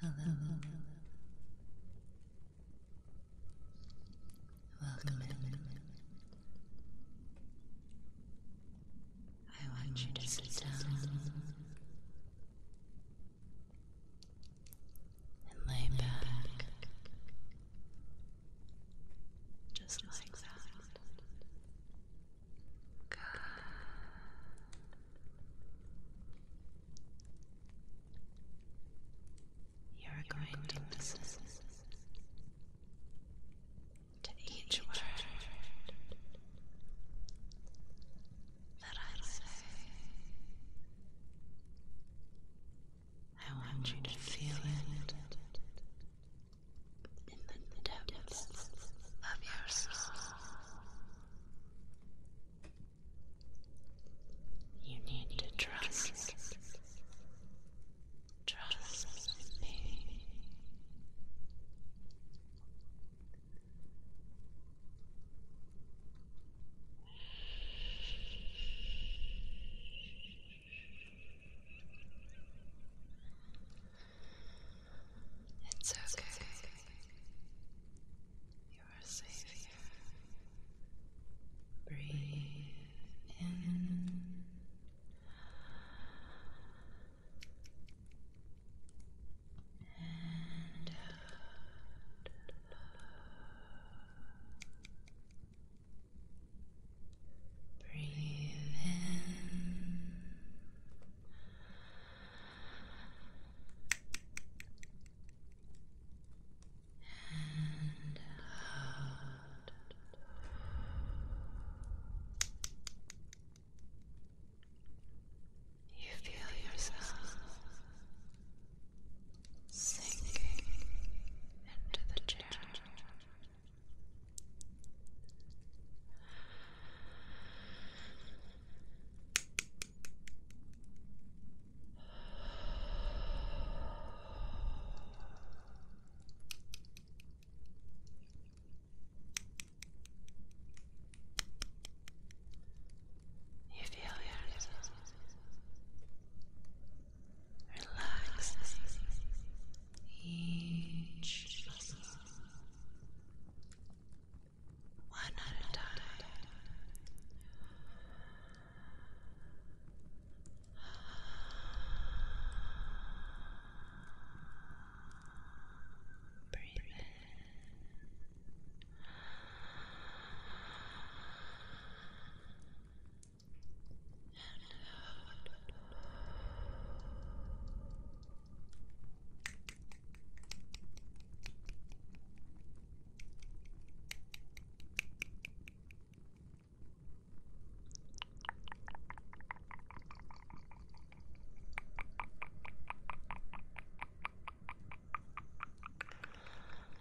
Hello, Welcome I want you to sit down and lay back just like that. Good. You're going to listen to each word that I say. I want you to feel it in the depths of your soul. You need to trust. Trust me. It's okay. You are safe here. Breathe in. And out. Breathe in and out. You feel yourself sinking into the chair. You feel yourself relaxing each one at time. Breathe in. And out.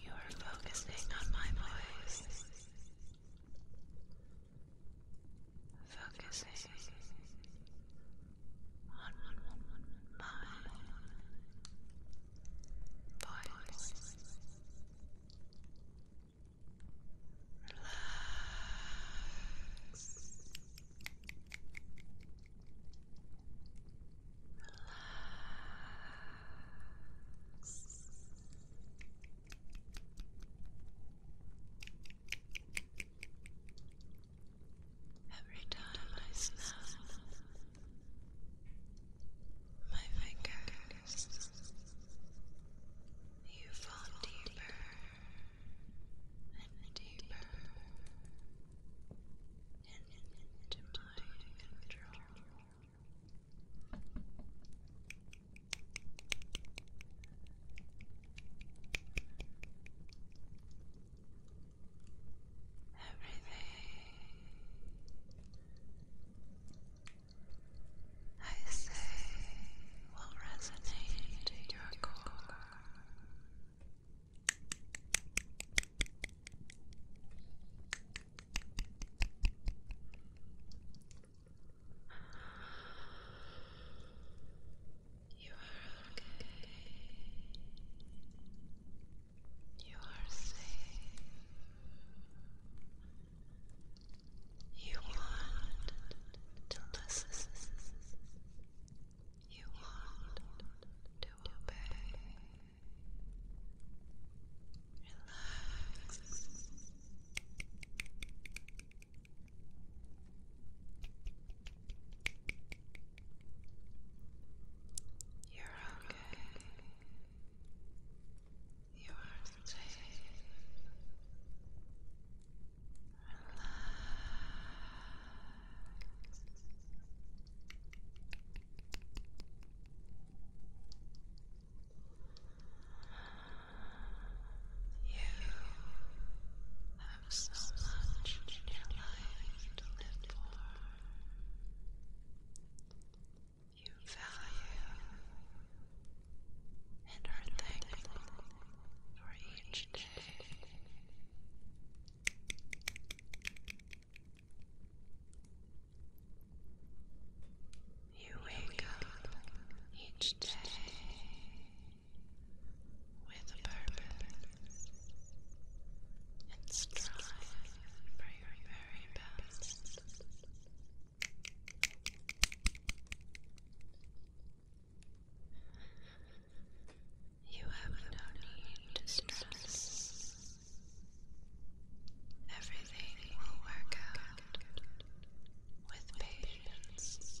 You are focusing on my voice focusing on my voice. Relax. Relax. Every time I snap, my fingers, you fall deeper and deeper into my control. Everything I say will resonate in your core. You are okay. You are safe. You want to listen. You want to obey. Relax. You're okay. You are safe. Relax. You have so much life to live for. You value and are thankful for each day. You wake up each day with purpose and strive for your very best. You have no need to stress. Everything will work out with patience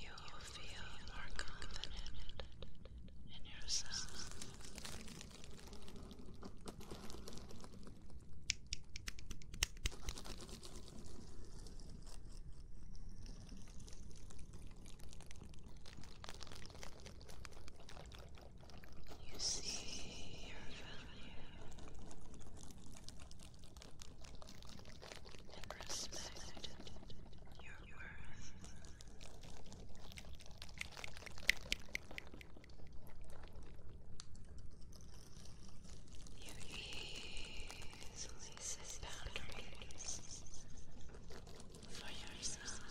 you will feel more confident in yourself. You see your value and respect your worth. You easily set boundaries for yourself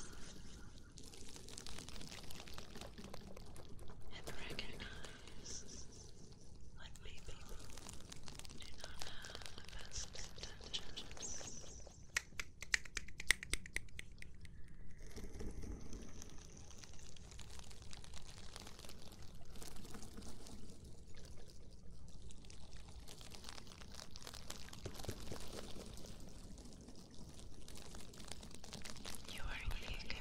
and recognize like me people do not have the best intentions. You are unique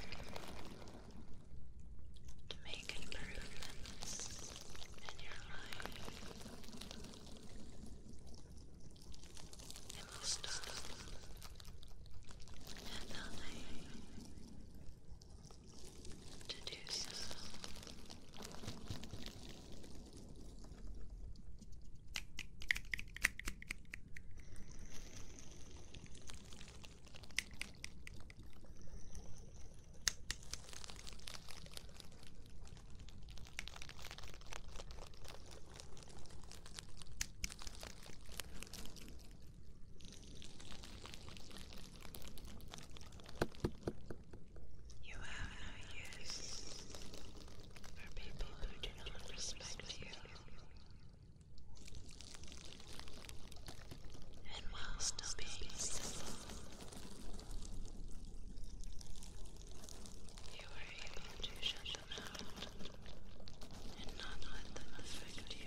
to make improvements in your life. It stop at to do so. You have no use for people who do not respect you and while still being simple, you are able to shut them out and not let them affect you.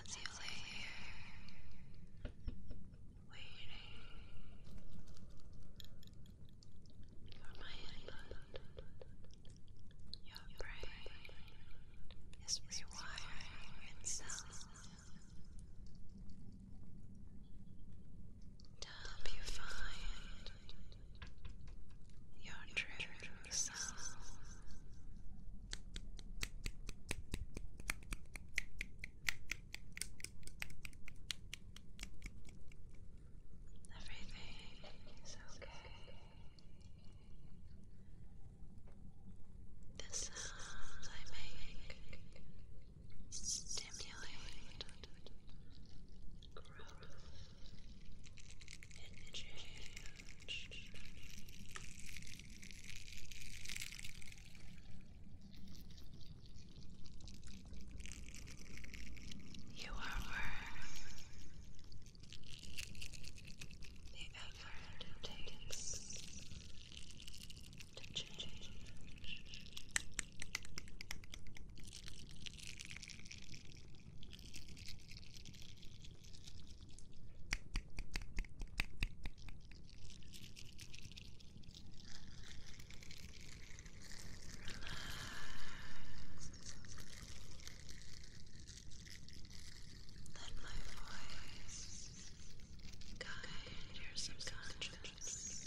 As you lay here, waiting for my input, your brain is rewiring itself to help you find your true self. Everything is okay. The sounds I make stimulate growth change. You are worth the effort takes to change. Let my voice guide your subconscious.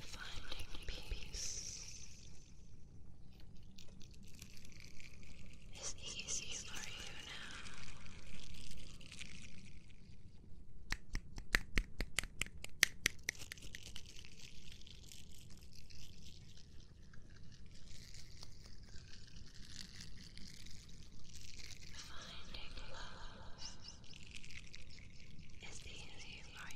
Finding peace is easy for you now. Finding love is easy for you now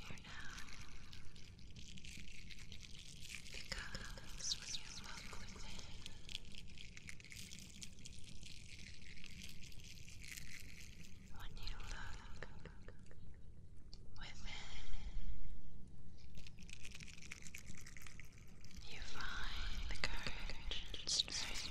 because when you look within, when you look within, you find the courage and strength.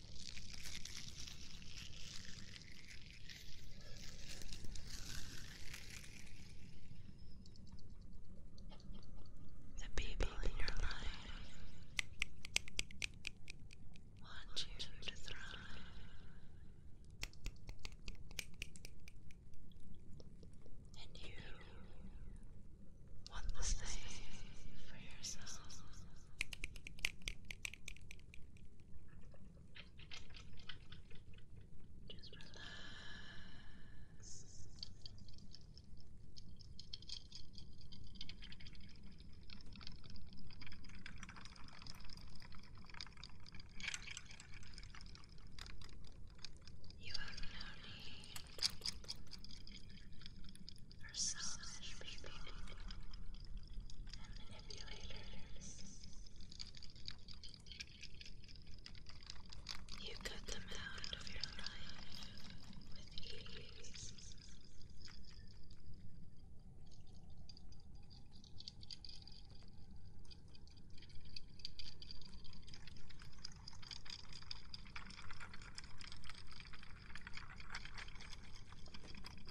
The people in your life want you to thrive. And you want the same for yourself. Just relax. You have no need are selfish people and manipulators. You cut them out of your life with ease.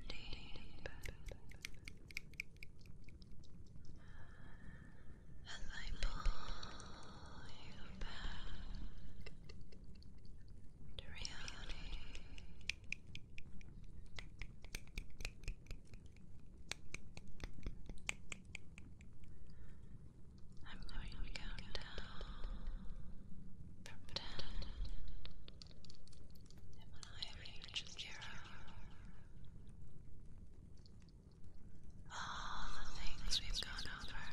Indeed. As pull you back to reality, I'm going down and all the things we've gone over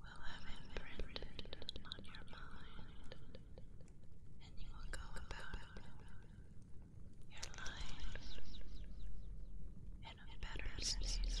will have imprinted on your mind, and you will go about your life in a better state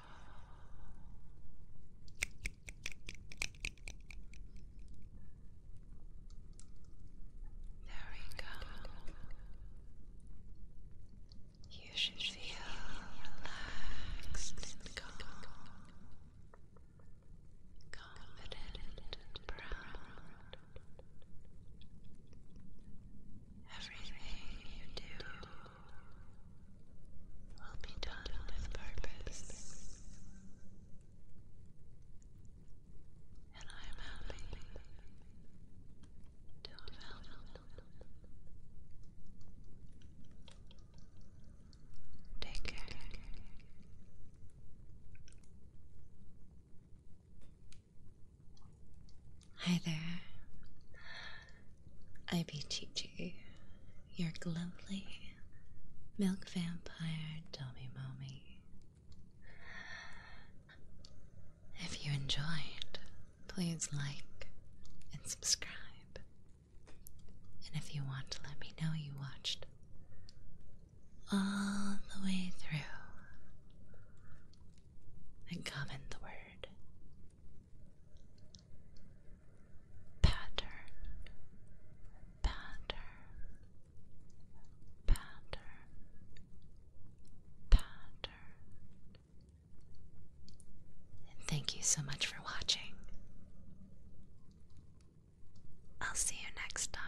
There we go. You should feel relaxed and calm, confident and proud. Everything you do will be done with purpose. And I am happy to Hi there. I be Chi Chi, your lovely milk vampire dummy mommy. If you enjoyed, please like and subscribe. And if you want to let me know you watched all the way through, then comment the word pattern, pattern, pattern, pattern. thank you so much for watching. I'll see you next time.